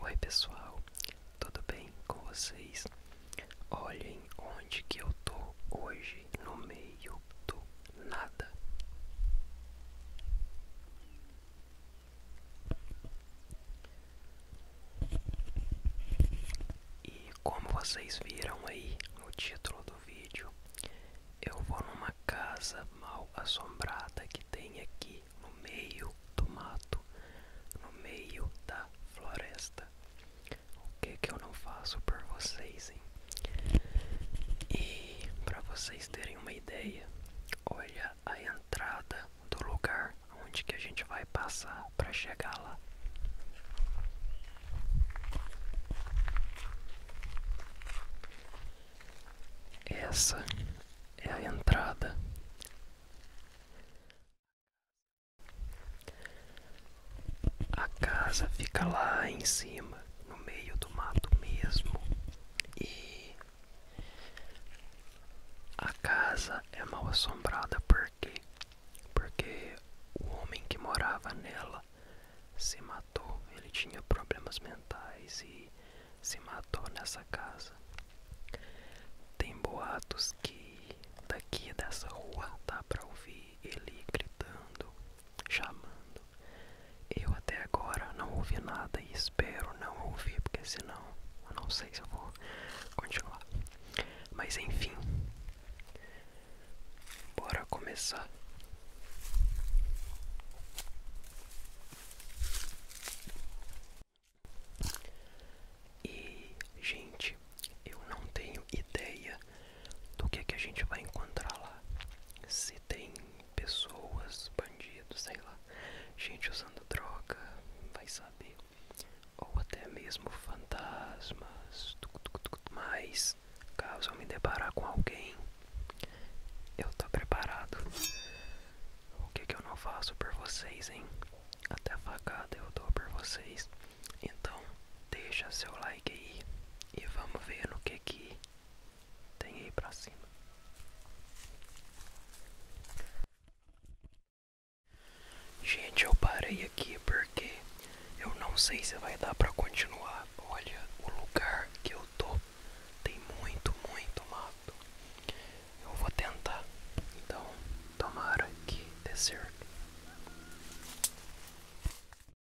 Oi pessoal, tudo bem com vocês? Olhem onde que eu tô hoje, no meio do nada. E como vocês viram aí no título do vídeo, eu vou numa casa mal assombrada que tem aqui no meio do mato, no meio da floresta. O que que eu não faço por vocês, E para vocês terem uma ideia, Olha a entrada do lugar onde que a gente vai passar para chegar lá. Essa é a entrada. A casa fica lá em cima no meio do mato mesmo e a casa é mal assombrada porque porque o homem que morava nela se matou, ele tinha problemas mentais e se matou nessa casa. Tem boatos que daqui dessa rua dá pra ouvir ele gritando chamando. Eu até agora não ouvi nada e espero não ouvir, porque senão eu não sei se eu vou continuar. Mas enfim, bora começar. E, gente, eu não tenho ideia do que, que a gente vai encontrar lá. Se tem pessoas, bandidos, sei lá, gente usando droga, vai saber, ou até mesmo fantasmas. mais caso eu me deparar com alguém, eu tô preparado. O que, que eu não faço por vocês, hein? Até a facada eu dou por vocês. Então, deixa seu like aí e vamos ver no que que tem aí ir pra cima. Gente, eu parei aqui porque eu não sei se vai dar pra continuar. Olha o lugar que eu tô. Tem muito, muito mato. Eu vou tentar. Então, tomara que descer.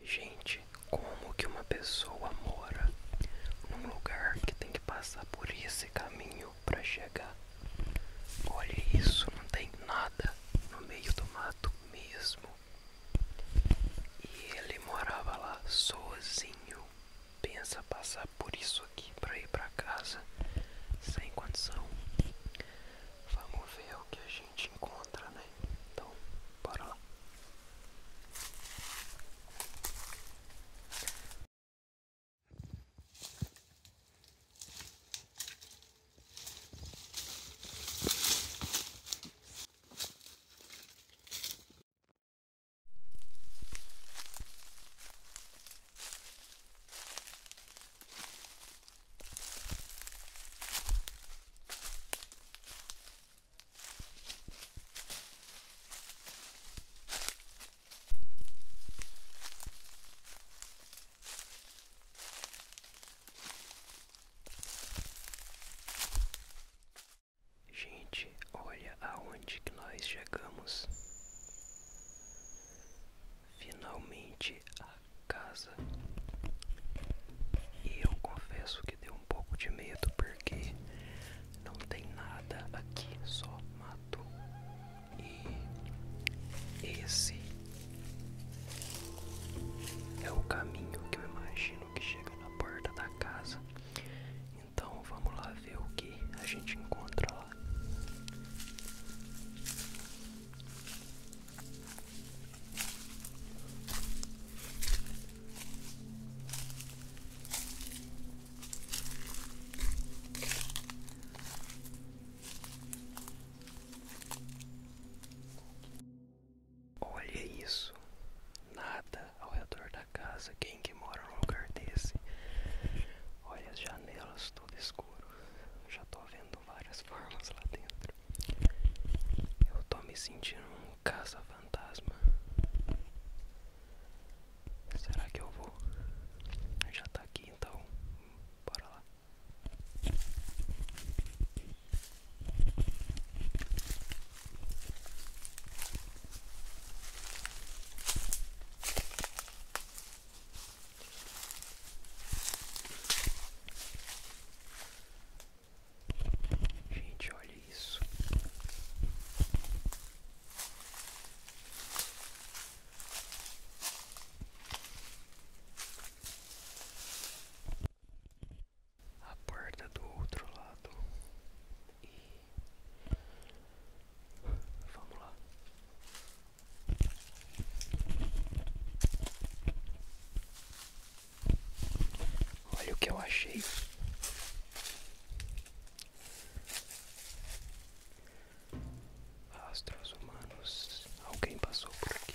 Gente, como que uma pessoa mora num lugar que tem que passar por esse caminho para chegar? Olha isso, não tem nada no meio do mato mesmo. E ele morava lá sozinho. Pensa passar por isso aqui para ir para casa sem condição. Vamos ver o que a gente gente encontra, né? Então, para lá. Gente, olha aonde que nós chegamos finalmente a casa. E eu confesso que deu um pouco de medo porque não tem nada aqui, só mato. E esse é o caminho que eu imagino que chega na porta da casa. Então vamos lá ver o que a gente encontra lá. Olha isso, nada ao redor da casa. Quem que mora num lugar desse? Olha as janelas todas escuras. Já estou vendo várias formas lá dentro. Eu estou me sentindo um caça-fantasma. Será que eu vou? Já está aqui então. Bora lá. Gente, olha isso. A porta do outro lado. E vamos lá. Olha o que eu achei. Rastros humanos. Alguém passou por aqui.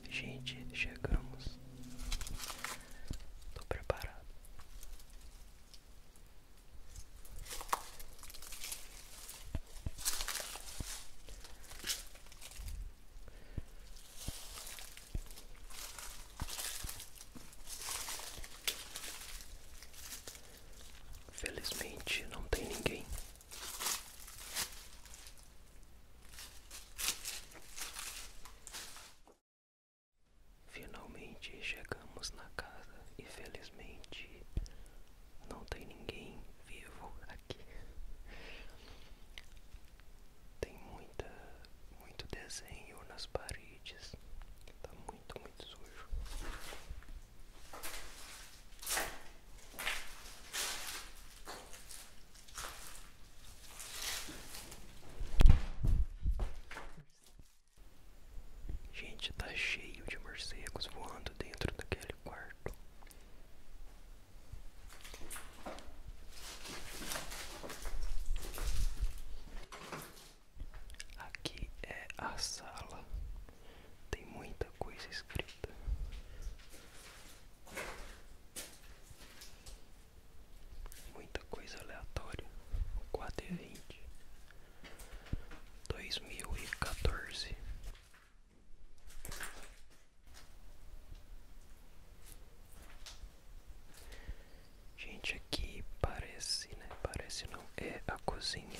Gente, chegamos. Estou preparado. Felizmente não tem ninguém. Finalmente chegamos na casa e felizmente não tem ninguém vivo aqui. Tem muita, muito desenho nas paredes. Tá muito, muito sujo. Gente, está cheio de morcegos voando dentro daquele quarto. Aqui é a sala. Tem muita coisa escrita. Muita coisa aleatória. quatro e vinte dois mil e 2014. Gente, aqui parece, né? Parece não, é a cozinha.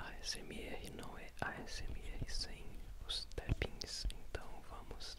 A ASMR não é A ASMR sem os tapins, então vamos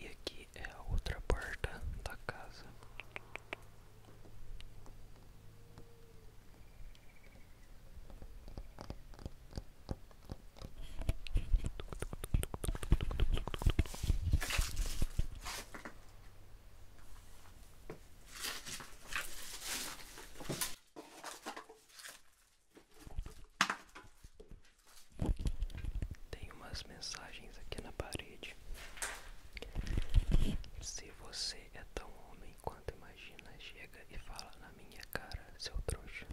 E aqui é a outra porta da casa. Tem umas mensagens aqui na parede. Se você é tão homem quanto imagina. Chega e fala na minha cara, seu trouxa.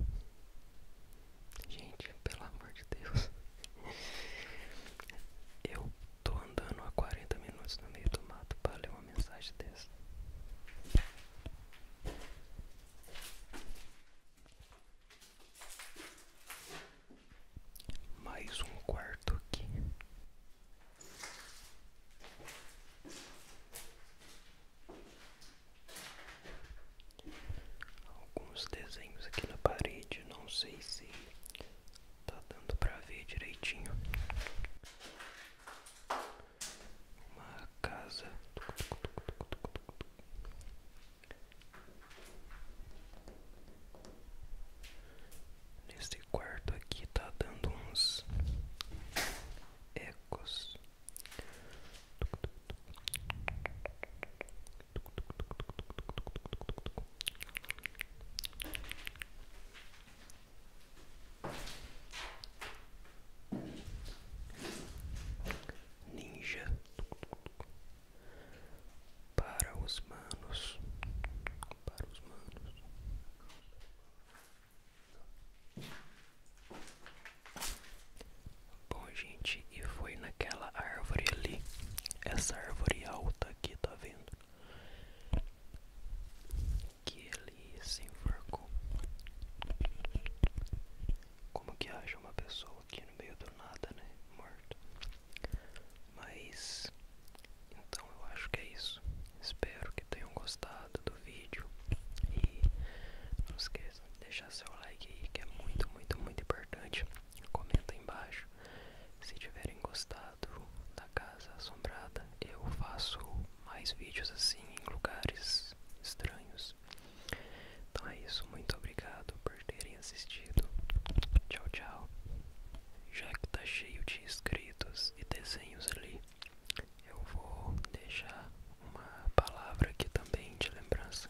Gente, pelo amor de Deus. Eu tô andando há 40 minutos no meio do mato para ler uma mensagem dessa. Mais um quarto aqui. Alguns desenhos aqui na parede, não sei se tá dando pra ver direitinho. Uma casa neste quarto aqui tá dando uns ecos. Ninja para os manos, para os manos. Bom, gente, e foi naquela árvore ali, essa árvore alta aqui, tá vendo? Que ele se enforcou. Como que acha uma pessoa aqui no meio do nada, né? Morto. Mas então eu acho que é isso. Espero que tenham gostado do vídeo e não esqueça de deixar seu like aí que é muito, muito, muito importante. Comenta embaixo se tiverem gostado da Casa Assombrada. Eu faço mais vídeos assim em lugares estranhos. Então é isso, muito obrigado por terem assistido. Tchau, tchau. Já que tá cheio de inscritos e desenhos ali, eu vou deixar uma palavra aqui também de lembrança.